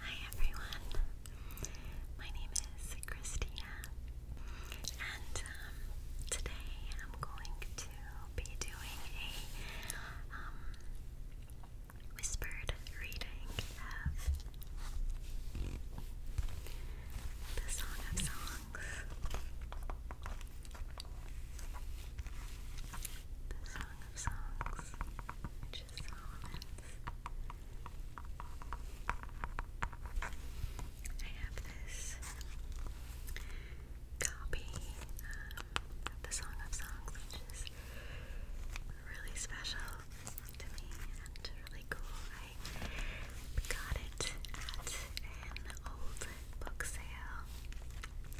Hi everyone, my name is Christina, and um, today I'm going to be doing a um, whispered reading of the Song of Songs. The Song of Songs, I have this copy of the Song of Songs, which is really special to me and really cool. I got it at an old book sale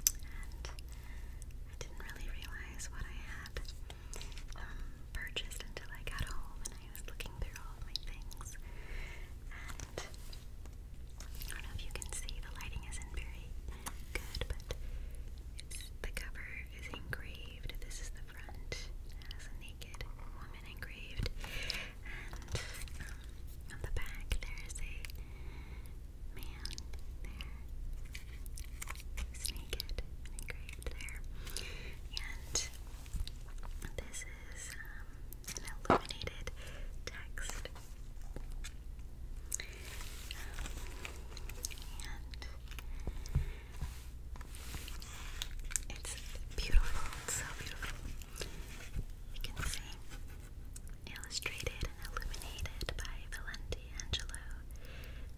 and I didn't really realize what I had um, purchased until I got home and I was looking through all my things. And I don't know if you can see, the lighting isn't very good, but the cover is engraved. This is the front. It a naked woman engraved. And um, on the back, there is a man there. He's naked and engraved there. And this is um, an illuminated text. and it's beautiful, it's so beautiful. You can see illustrated illuminated by Valenti Angelo,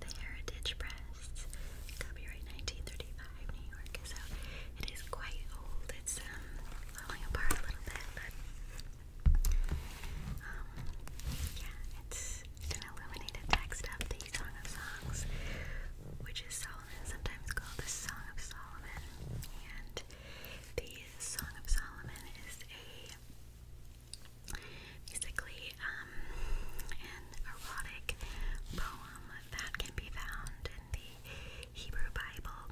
The Heritage Press, copyright 1935, New York. So it is quite old. It's um, falling apart a little bit, but um, yeah, it's an illuminated text of the Song of Songs, which is Solomon, sometimes called the Song of Solomon, and the Song of Solomon is a basically um, an erotic poem that can be found in the Hebrew Bible.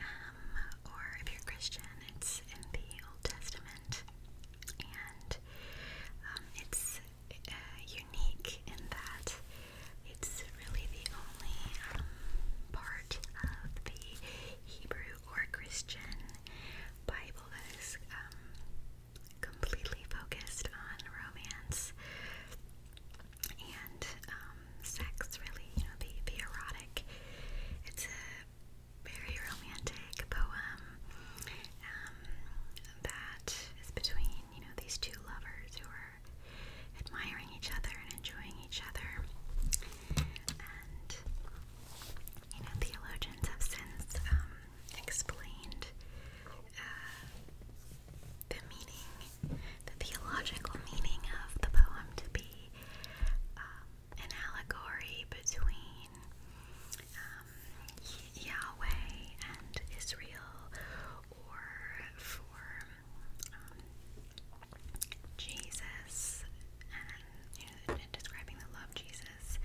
Um, or if you're Christian, it's in the Old Testament. And um, it's uh, unique in that it's really the only um, part of the Hebrew or Christian Bible that is um, completely focused on romance and um, sex, really, you know, the, the erotic. It's a very romantic poem um, that is between, you know, these two lovers who are admiring each other and enjoying each other. And you know, theologians have since um, explained uh, the meaning, the theological meaning of the poem to be um, an allegory between um, Yahweh and Israel, or for Jesus and describing the love Jesus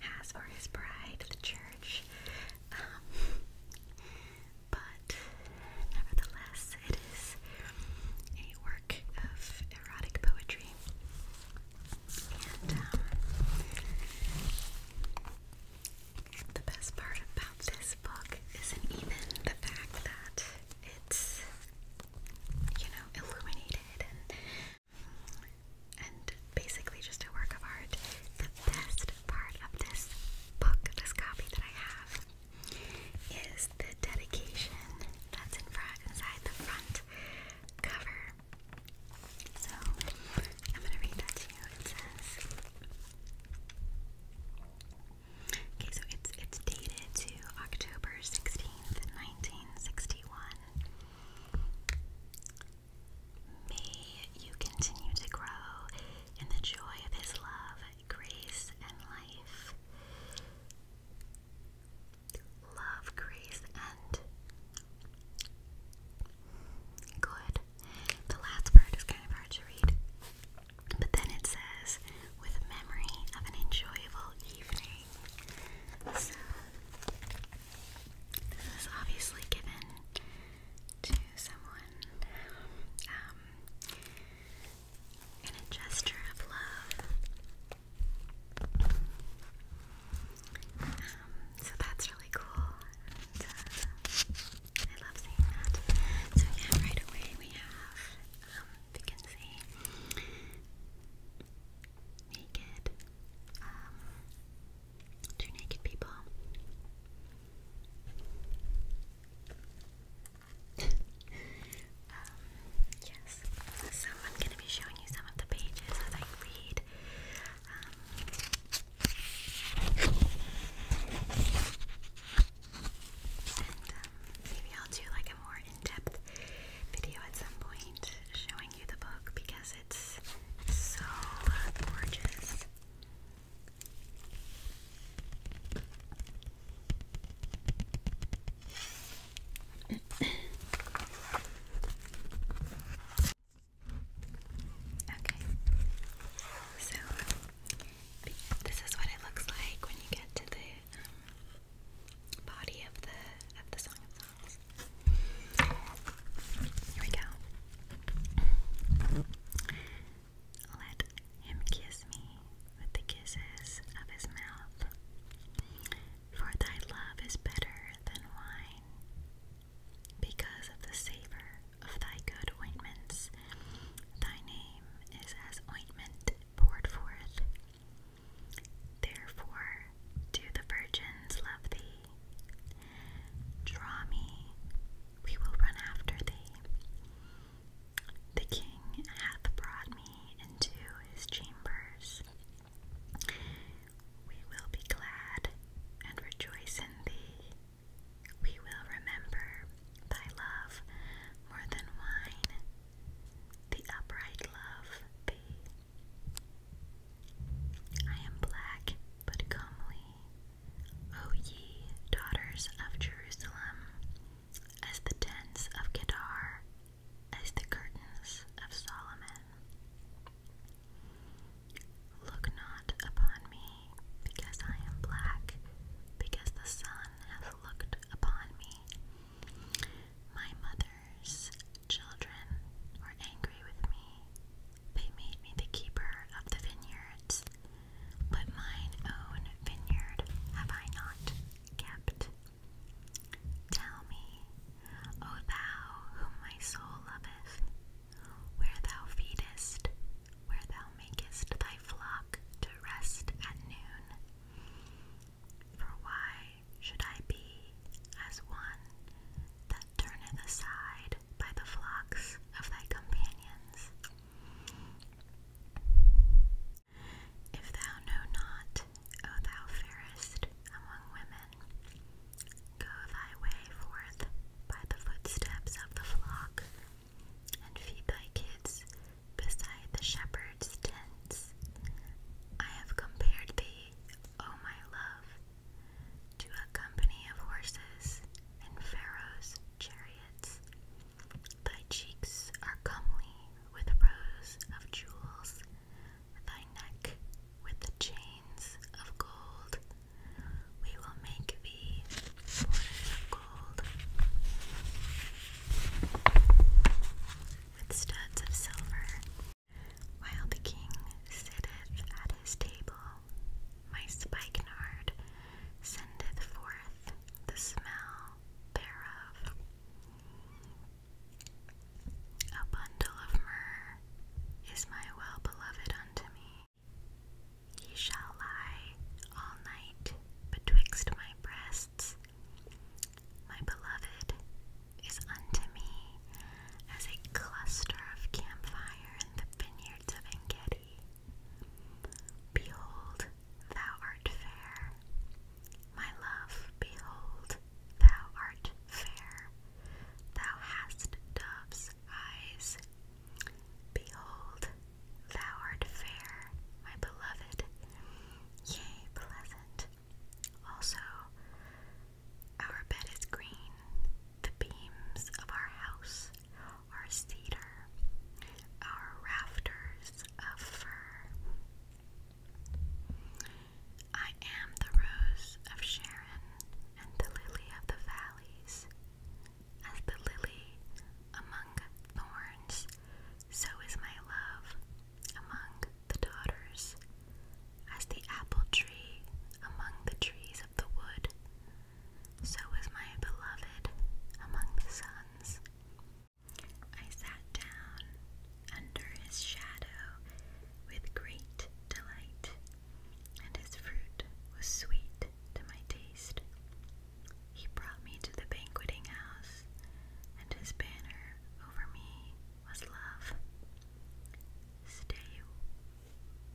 has for his bride, the church. Um, but nevertheless, it is a work of erotic poetry. And um, the best part about this book isn't even the fact that it's you know, illuminated and basically just a work of art. The best part of this book, this copy that I have, is the dedication that's in front inside the front cover. So I'm gonna read that to you. It says Okay, so it's it's dated to October 16, 19th, 1961. May you continue to grow in the joy of His love, grace, and life. Love, grace, and good. The last part is kind of hard to read. But then it says, with memory of an enjoyable evening. So, this is obviously given to someone um, in a gesture of love. Um, so that's really cool. Uh, I love seeing that. So yeah, right away we have um, if you can see. Naked. Um, two naked people. um, yes. So I'm going to be showing you some of the pages as I read. Um, um maybe I'll do like more in-depth video at some point showing you the book because it's so gorgeous. okay, so this is what it looks like when you get to the um, body of the of the Song of Songs. Here we go. Let him kiss me with the kisses of his mouth. For thy love is better than wine. Because of the savor of thy good ointments, thy name is as ointment poured forth Therefore, do the virgins love thee? Draw me, we will run after thee. The king hath brought me into his chambers. We will be glad and rejoice in thee. We will remember thy love more than wine the upright love be. I am black but comely, O ye daughters of Jerusalem, as the tents of Kedar, as the curtains of Solomon. Look not upon me, because I am black, because the sun hath looked upon me. My mother's children were angry with me. They made me the keeper of the vineyards, but mine own vineyard have I not kept. Tell me, O thou whom my soul loveth, where thou feedest, where thou makest thy flock to rest at noon. For why should I be as one that turneth aside by the flocks of thy companions? If thou know not, O thou fairest among women, go thy way forth by the footsteps of the flock, and feed thy kids beside the shepherd's tents. I have compared thee, O my love, to a company of horses and Pharaoh's chariots. Thy cheeks are comely with rows of jewels, thy neck with the chains of gold. We will make thee of gold with studs of silver. While the king sitteth at his table, my spikenard sendeth forth the smell thereof. A bundle of myrrh is my well beloved unto me. He shall lie all night betwixt my breasts, my beloved is unto me as a cluster of campfire in the vineyards of Engedi. Behold, thou art fair. My love, behold, thou art fair. Thou hast dove's eyes. Behold, Thou art fair, my beloved, yea, pleasant. Also, our bed is green, the beams of our house are cedar, our rafters fir. I am the rose of Sharon and the lily of the valleys. As the lily among thorns, so is my love among the daughters, as the apple tree among the trees of the wood. So is my beloved among the sons. I sat down under his shadow with great delight, and his fruit was sweet to my taste. He brought me to the banqueting house, and his banner over me was love. Stay,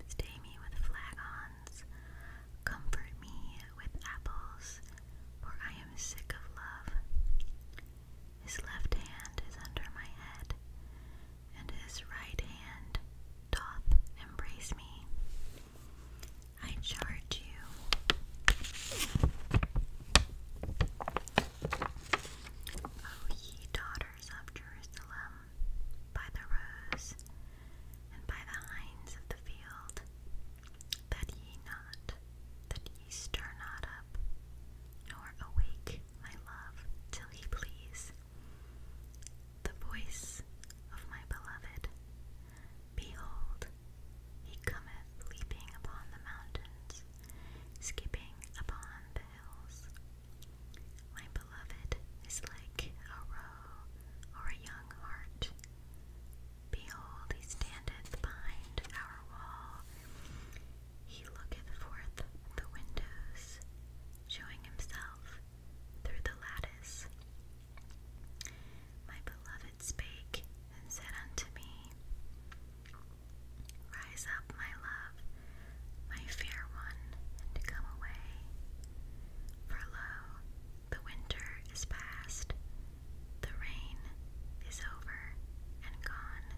stay me with flagons, comfort me with apples, for I am sick of love. His left hand is under my head, and his right hand doth embrace me. I charge you. O oh, ye daughters of Jerusalem, by the rose and by the hinds of the field, that ye not, that ye stir not up, nor awake my love till he please. The voice of my beloved. Behold, he cometh leaping upon the mountains, skipping upon the hills. My beloved is like a roe or a young hart. Behold, he standeth behind our wall. He looketh forth the windows, showing himself through the lattice. My beloved spake and said unto me, Rise up, my love, my fair one, and come away. For lo, the winter is past, the rain is over and gone,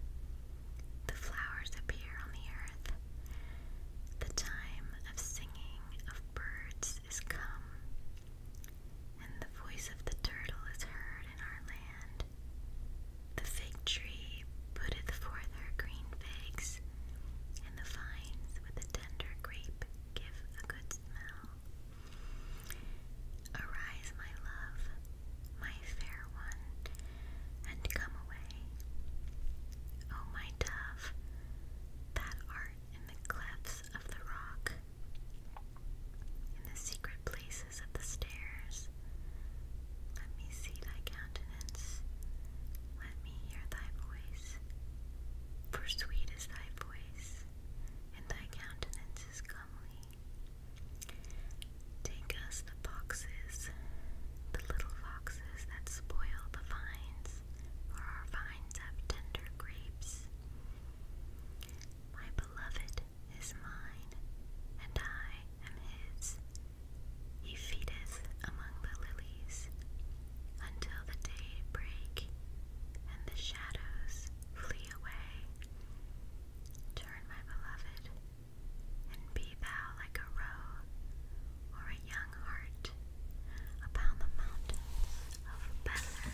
the flowers appear on the earth, the time of singing of birds is come, and the voice of the turtle is heard in our land. The fig tree putteth forth her green figs, and the vines with the tender grape give a good smell. Arise, my love, my fair one, and come away. O my dove, that art in the clefts of the rock, in the secret places of the stairs, let me see thy countenance, let me hear thy voice. For sweet is thy voice, and thy countenance is comely. Take us the foxes, the little foxes that spoil the vines, for our vines have tender grapes, my beloved is mine, and I am his. He feedeth among the lilies until the day break and the shadows flee away. Turn, my beloved, and be thou like a roe or a young hart upon the mountains of Bethel.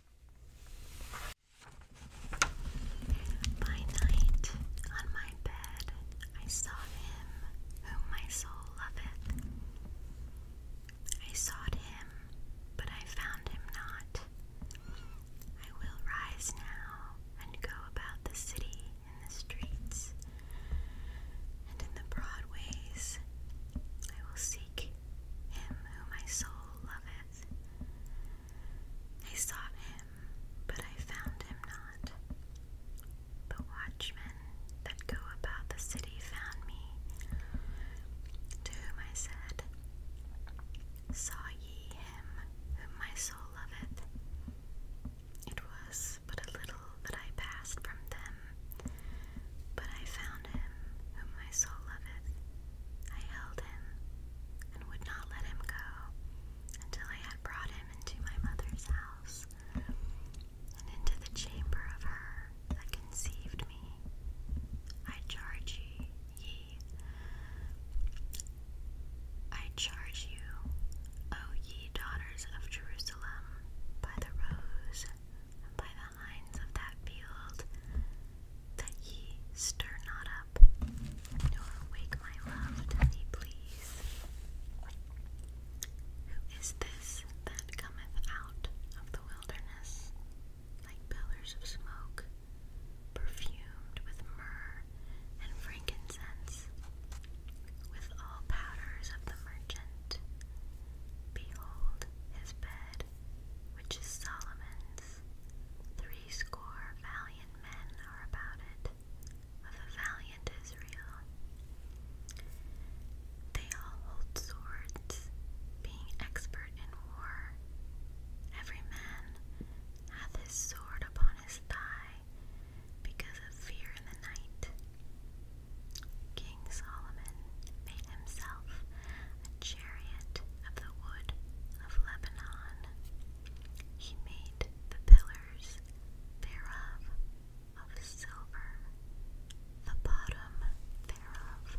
By night, on my bed, I saw him whom my soul loveth. I sought him, but I found him not. I will rise now and go about the city in the streets and in the broad I will seek him whom my soul loveth. I sought him, but I found him not. The watchmen that go about the city found me, to whom I said, Saw ye him whom my soul loveth? It was but a little that I passed from them. But I found him whom my soul loveth. I held him and would not let him go until I had brought him into my mother's house and into the chamber of her that conceived me. I charge ye, ye. I charge you, O ye daughters of Jerusalem, by the rose by the lines of that field, that ye stir not up, nor awake my love till he please. Who is this that cometh out of the wilderness, like pillars of smoke, perfumed with myrrh and frankincense, with all powders of the merchant? Behold, his bed which is Solomon's. Threescore valiant men are about it, of a valiant Israel. They all hold swords, being expert in war. Every man hath his sword upon his thigh, because of fear in the night. King Solomon made himself a chariot of the wood of Lebanon. He made the pillars thereof of silver, the bottom thereof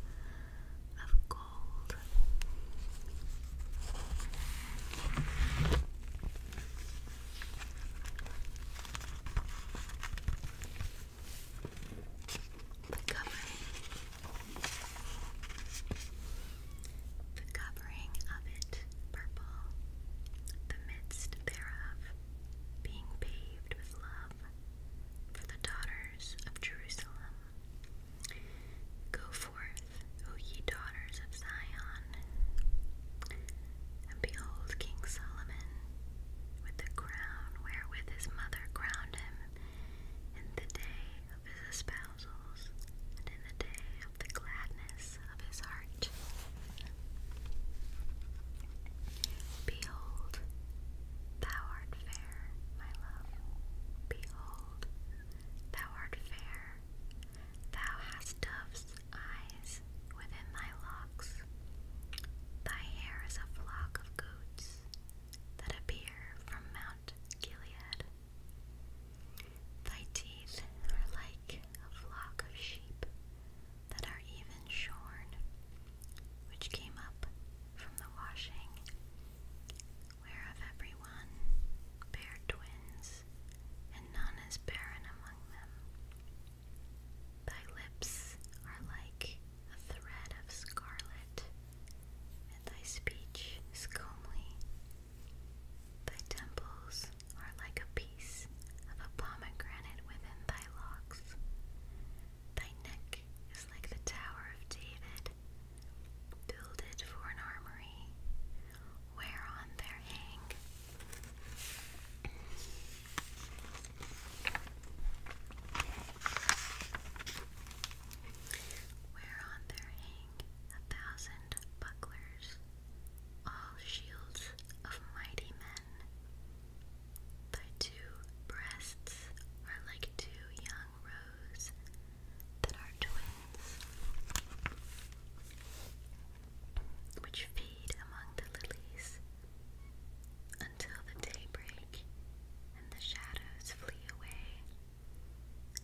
of gold. The covering, the covering of it purple, the midst thereof being paved with love for the daughters of Jerusalem. Go forth, O ye daughters of Zion. And behold, King Solomon with the crown wherewith his mother crowned him in the day of his espousals and in the day of the gladness of his heart. Behold, thou art fair, my love. Behold, thou art fair. Thou hast dove's eyes within thy locks. Thy hair is a flock of goats that appear from Mount Gilead. Thy teeth are like a flock of sheep that are even shorn, which came up from the washing, whereof every one bare twins, and none is barren among them. Thy lips are like a thread of scarlet, and thy speech is comely. Thy temples are like a piece of a pomegranate within thy locks. Thy neck is like the Tower of David, builded for an armory, whereon there hang where on there hang a thousand bucklers, all shields of mighty men. Thy two breasts are like two young roes that are twins, which feed among the lilies. Until the day and the shadows flee away,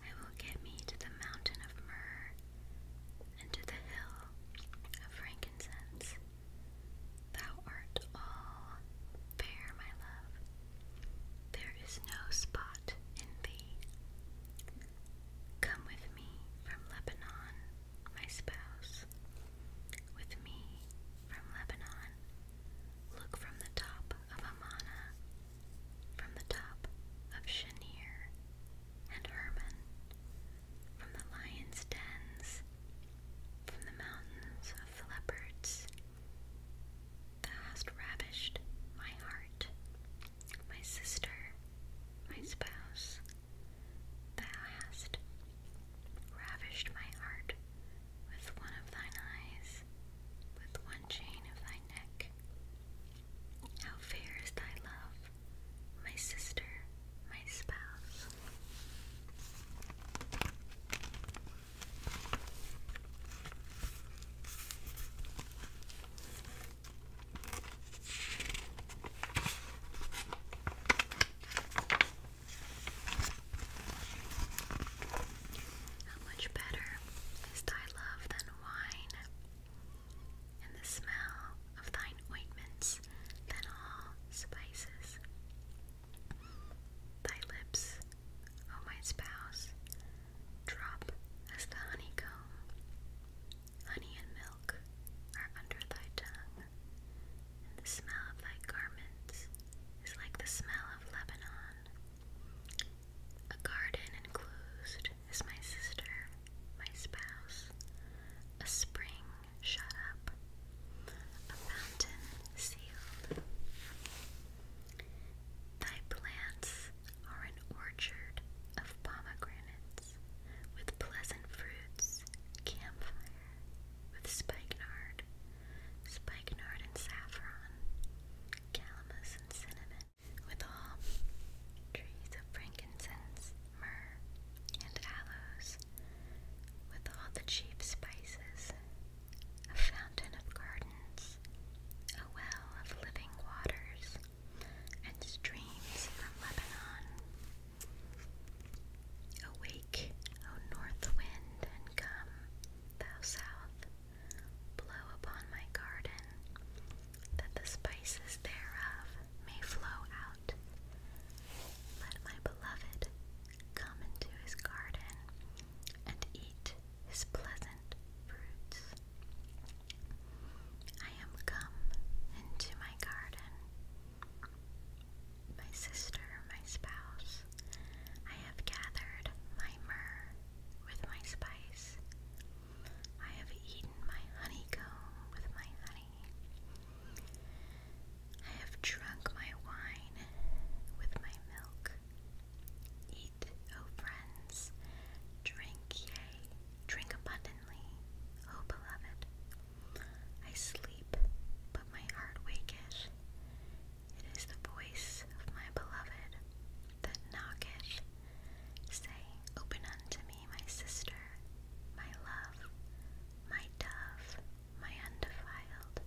I will get me to the mountain of myrrh and to the hill of frankincense. Thou art all fair, my love. There is no spot in thee. Come with me from Lebanon, my spouse, with me from Lebanon. Look from the top of Amana, from the top of Shanir and Hermon, from the lions' dens, from the mountains of the leopards. Thou hast ravished my heart, my sister, my spouse, Thou hast ravished my heart with one of thine eyes, with one chain of thy neck. How fair is thy love, my sister, my spouse. How much better is thy love than wine, and the smell of thine ointments than all spices? Thy lips, O my spouse, drop as the honeycomb. Honey and milk are under thy tongue and the smell of thy garments is like the smell of Lebanon. A garden enclosed is my sister, my spouse, a spring shut up, a fountain sealed. Thy plants are an orchard of pomegranates with pleasant fruits, campfire, with spikenard, spikenard and saffron, calamus and cinnamon, with all trees of frankincense, myrrh, and aloes, with all the chief spices, a fountain of gardens, a well of living waters, and streams from Lebanon. Awake, O north wind, and come, thou south, blow upon my garden, that the spices thereof may flow out. Let my beloved come into his garden and eat his pleasant fruits. I am come into my garden, my sister, my spouse, I have gathered my myrrh with my spice. I have eaten my honeycomb with my honey. I have drunk my wine with my milk. Eat, O friends, drink, yea, drink abundantly, O beloved, I sleep, but my heart waketh. It is the voice of my beloved that knocketh, saying, Open unto me, my sister, my love, my dove, my undefiled.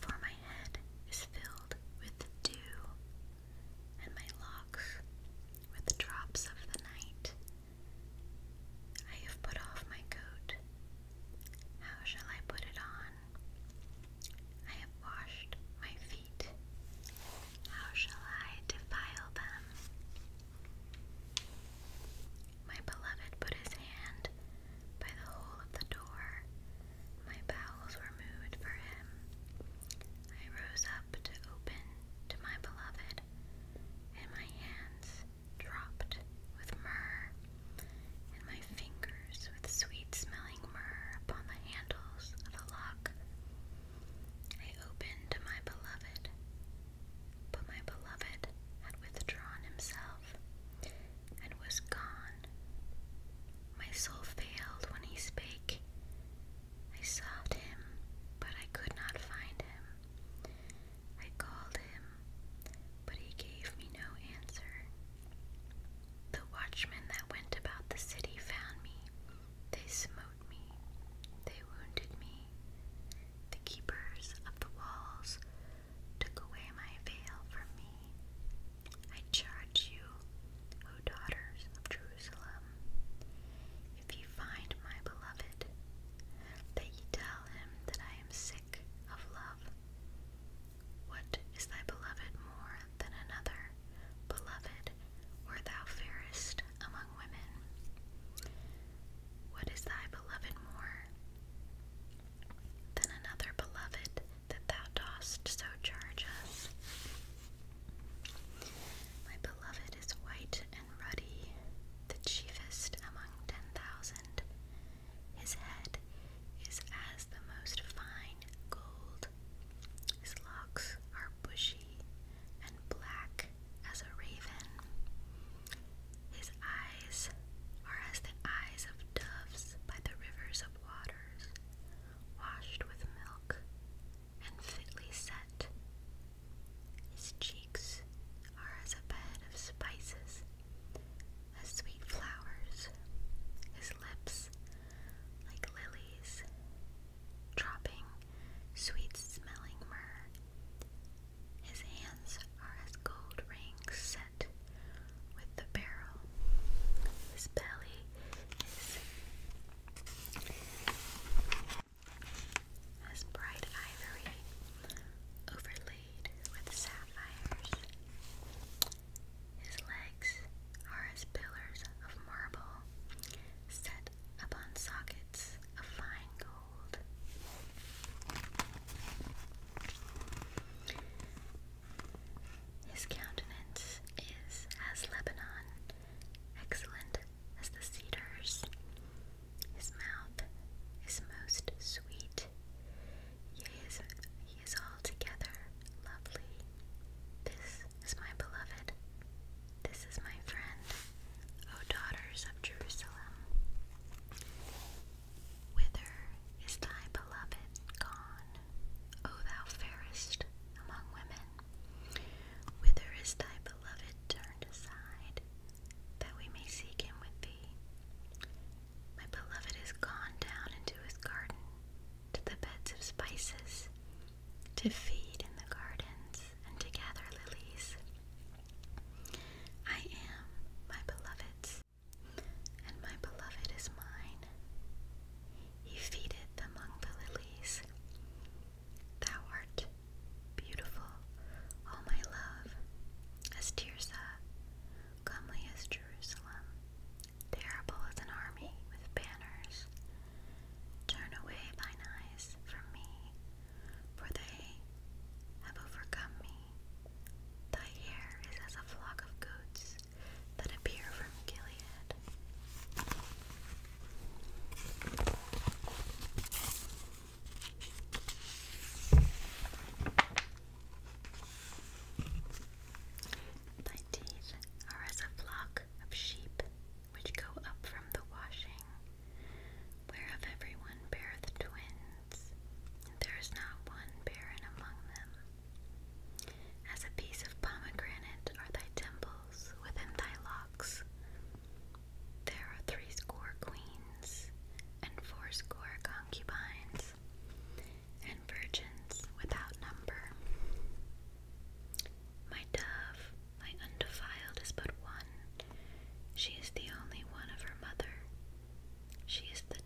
For my head is filled with dew, and my locks with drops of the night. I have put off my coat. How shall I put it on? I have washed my feet. How shall I defile them? My beloved put his hand by the hole of the door. My bowels were moved for him. I rose up to open to my beloved, and my hands dropped with myrrh, and my fingers with sweet smelling myrrh upon the handles of the lock. I opened to my beloved, but my beloved had withdrawn himself and was gone. My soul failed when he spake. I sought him, but I could not find him. I called him, but he gave me no answer. The watchmen that went about the city found me. They smote me. They wounded me. The keepers of the walls took away my veil from me. I charge you, O daughters of Jerusalem, if you find my beloved, that you tell him that I am sick of love. What is thy beloved more than another? Beloved, were thou fairest among women. What is thy beloved more than another beloved that thou dost so charge us? My beloved is white and ruddy, the chiefest among ten thousand. His head is as the most fine gold. His locks are bushy and black as a raven. His eyes are as the eyes of doves by the rivers of waters, washed with milk and fitly set. His cheeks are as a bed of spices, as sweet flowers, his lips like lilies, dropping sweet smelling myrrh, his hands are as gold rings set with the barrel. His belly is as bright ivory overlaid with sapphires. His legs are as pillars of marble set upon sockets of fine gold. His countenance is as Lebanon, excellent as the cedars. His mouth is most sweet. Yea, he is altogether lovely. This is my beloved. This is my friend. O daughters of Jerusalem, whither is thy beloved gone, O thou fairest among women? Whither is thy beloved turned aside, that we may seek him with thee? My beloved is gone down into his garden, to the beds of spices, to feed in the gardens, and to gather lilies. I am my beloved, and my beloved is mine. He feedeth among the lilies. Thou art beautiful, O my love, as Tirzah, comely as Jerusalem, terrible as an army with banners. Turn away thine eyes from me, for they have overcome me. Thy hair is as a flock of goats that appear from Gilead. Thy teeth are as a flock of sheep which go up from the washing, Whereof everyone beareth twins, there is not one barren among them. As a piece of pomegranate are thy temples within thy locks. There are threescore queens, and fourscore concubines, and virgins without number. My dove, my undefiled, is but one, she is the only one of her mother. She is the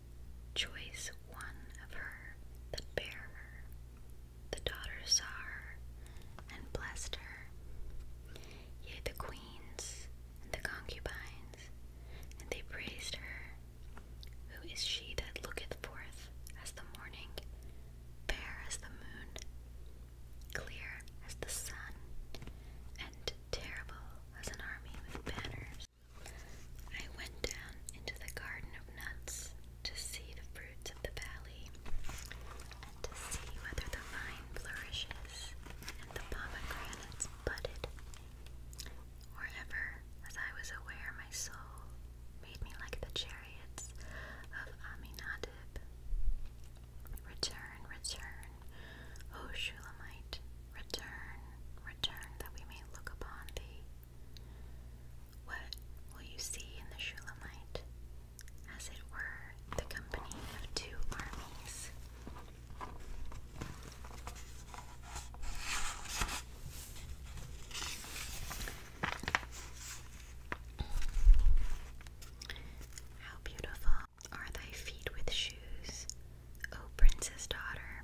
choice one of her that bare her. The daughters saw her and blessed her. Yea, the queens and the concubines, and they praised her. Who is she that looketh forth as the morning, fair as the moon, clear as the sun, and terrible as an army with banners. I went down into the garden of nuts to see the fruits of the valley, and to see whether the vine flourishes and the pomegranates budded. Or as I was aware, my soul made me like the chariots of Aminadib. Return, return, O Shulamite, return, return, that we may look upon thee. What will you see in the Shulamite? As it were, the company of two armies. How beautiful are thy feet with shoes, O princess daughter?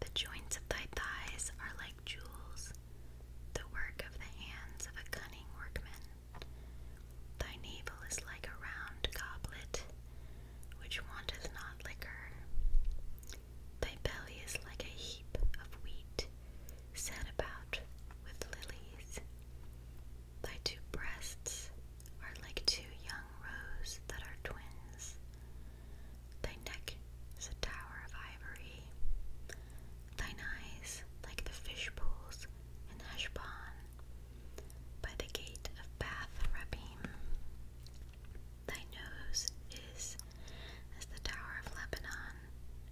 The joints of thy thighs are like jewels, the work of the hands of a cunning workman. Thy navel is like a round goblet, which wanteth not liquor. Thy belly is like a heap of wheat, set about with lilies. Thy two breasts are like two young roes that are twins. Thy neck is a tower of ivory. Thy eyes like the fish pools in Ashban by the gate of Bath Rabim. Thy nose is as the tower of Lebanon,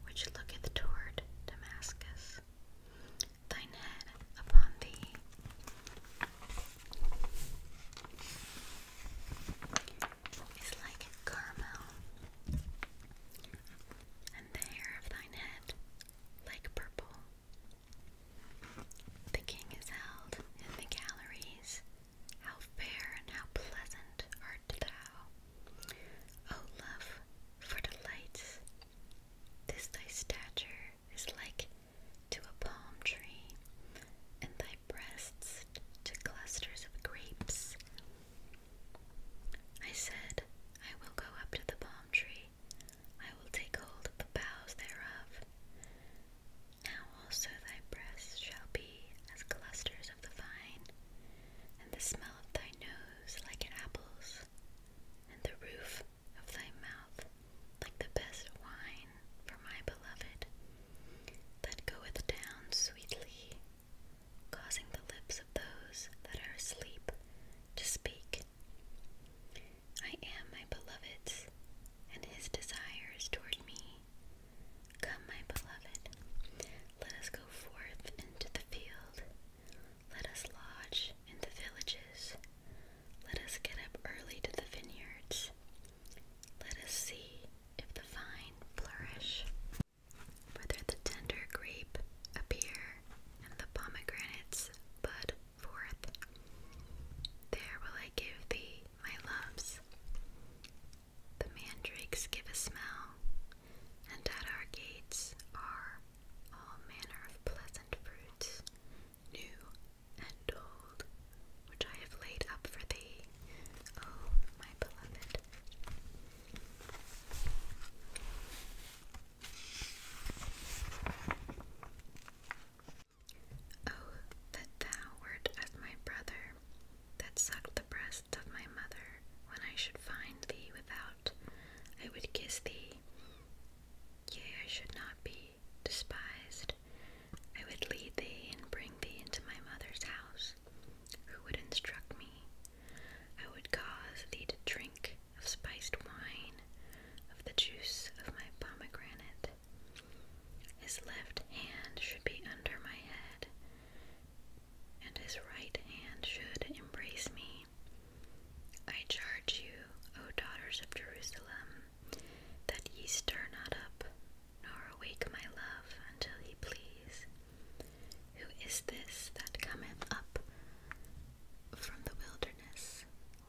which looketh toward Damascus thine head upon thee. Is like caramel, and the hair of thine head like purple. The king is held in the galleries. How fair and how pleasant art thou, O love, for delights! This thy stature is like to a palm tree, and thy breasts to clusters of grapes. I said, I will go up to the palm tree, I will take hold of the boughs thereof. Now also thy breasts shall be as clusters of the vine, and the smell of thy nose like apples, and the roof of thy mouth, like the best wine for my beloved, that goeth down sweetly, causing the lips of those that are asleep to speak. I am my beloved's, and his desires toward me. Come, my beloved, let us go forth into the field. Let us lodge in the villages. Let us get up early to the vineyards. Let us see if the vine flourish, whether the tender grape appear and the pomegranates bud forth. There will I give thee my loves. The mandrakes give a smell, and at our gates are all manner of pleasant fruits, new and old, which I have laid up for thee, O oh, my beloved. Oh, that thou wert as my brother, that sucked the breast of my mother, when I should find thee without, I would kiss thee, Yea, I should not be despised. I would lead thee and bring thee into my mother's house, who would instruct me. I would cause thee to drink of spiced wine, of the juice of my pomegranate. His left hand should be under my head, and his right hand should embrace me. I charge you, O daughters of Jerusalem, that ye stir not up, nor awake my love until he please. Who is this that cometh up from the wilderness,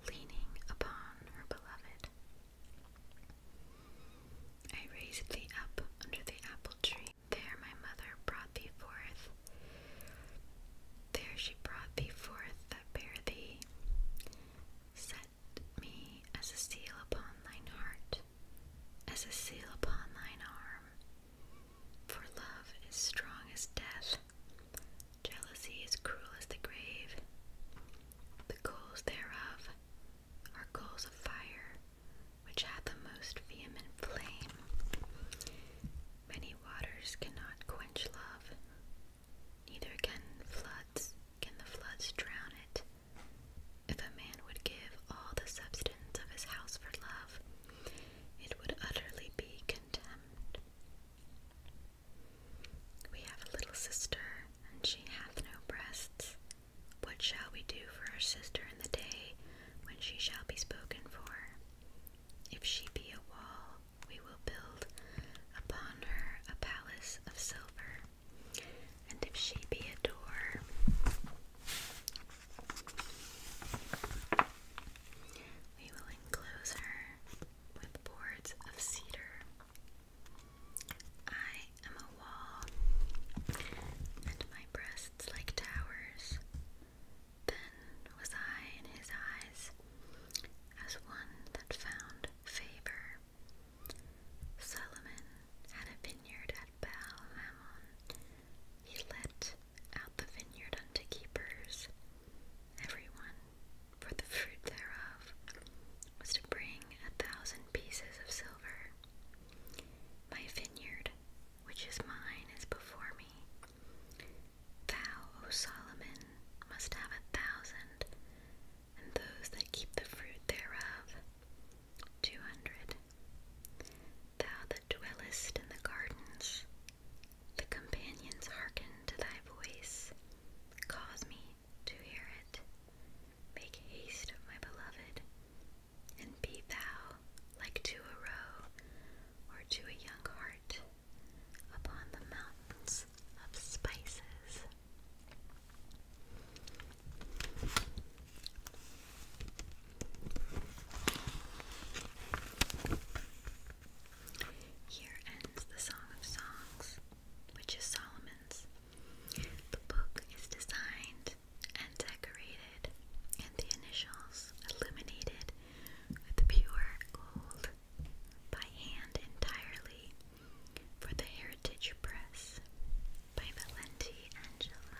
leaning upon her beloved? I raised thee up under the apple tree. There my mother brought thee forth. There she brought thee forth that bare thee. Set me as a seal upon thine heart, as a seal upon thine arm. For love is strong as death, jealousy is cruel as the grave. The coals thereof are coals of fire, which have the most vehement flame. Many waters cannot quench love, neither can floods can the floods drown it. If a man would give all the substance of his house for love, it would utterly be contemned. We have a little sister, and she hath no breasts. What shall we do for our sister in the day when she shall be spoken for? If she be a wall, we will build upon her a palace of silver. And if she be a door, we will enclose her with boards of cedar. I am a wall, and my breasts like towers. Then was I in his eyes as one that found favor. Solomon had a vineyard at Baal Mammon. He let out the vineyard unto keepers. Every one, for the fruit thereof, was to bring a thousand pieces of silver. My vineyard, which is mine, is before me. Thou, O Solomon, must have a thousand, and those that keep the fruit thereof, two hundred. Thou that dwellest in the gardens, the companions hearken to thy voice. Cause me to hear it. Make haste, my beloved, and be thou like to a roe or to a young heart upon the mountains of spices. Here ends the Song of Songs, which is Solomon's. The book is designed and decorated, and the initials illuminated with pure gold by hand entirely for the Heritage Press by Valenti Angelo.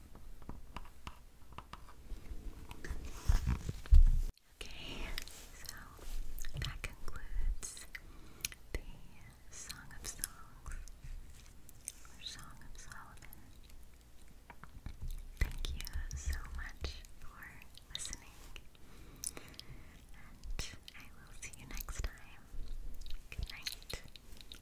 Okay, so that concludes the Song of Songs or Song of Solomon. Thank you so much for listening, and I will see you next time. Good night.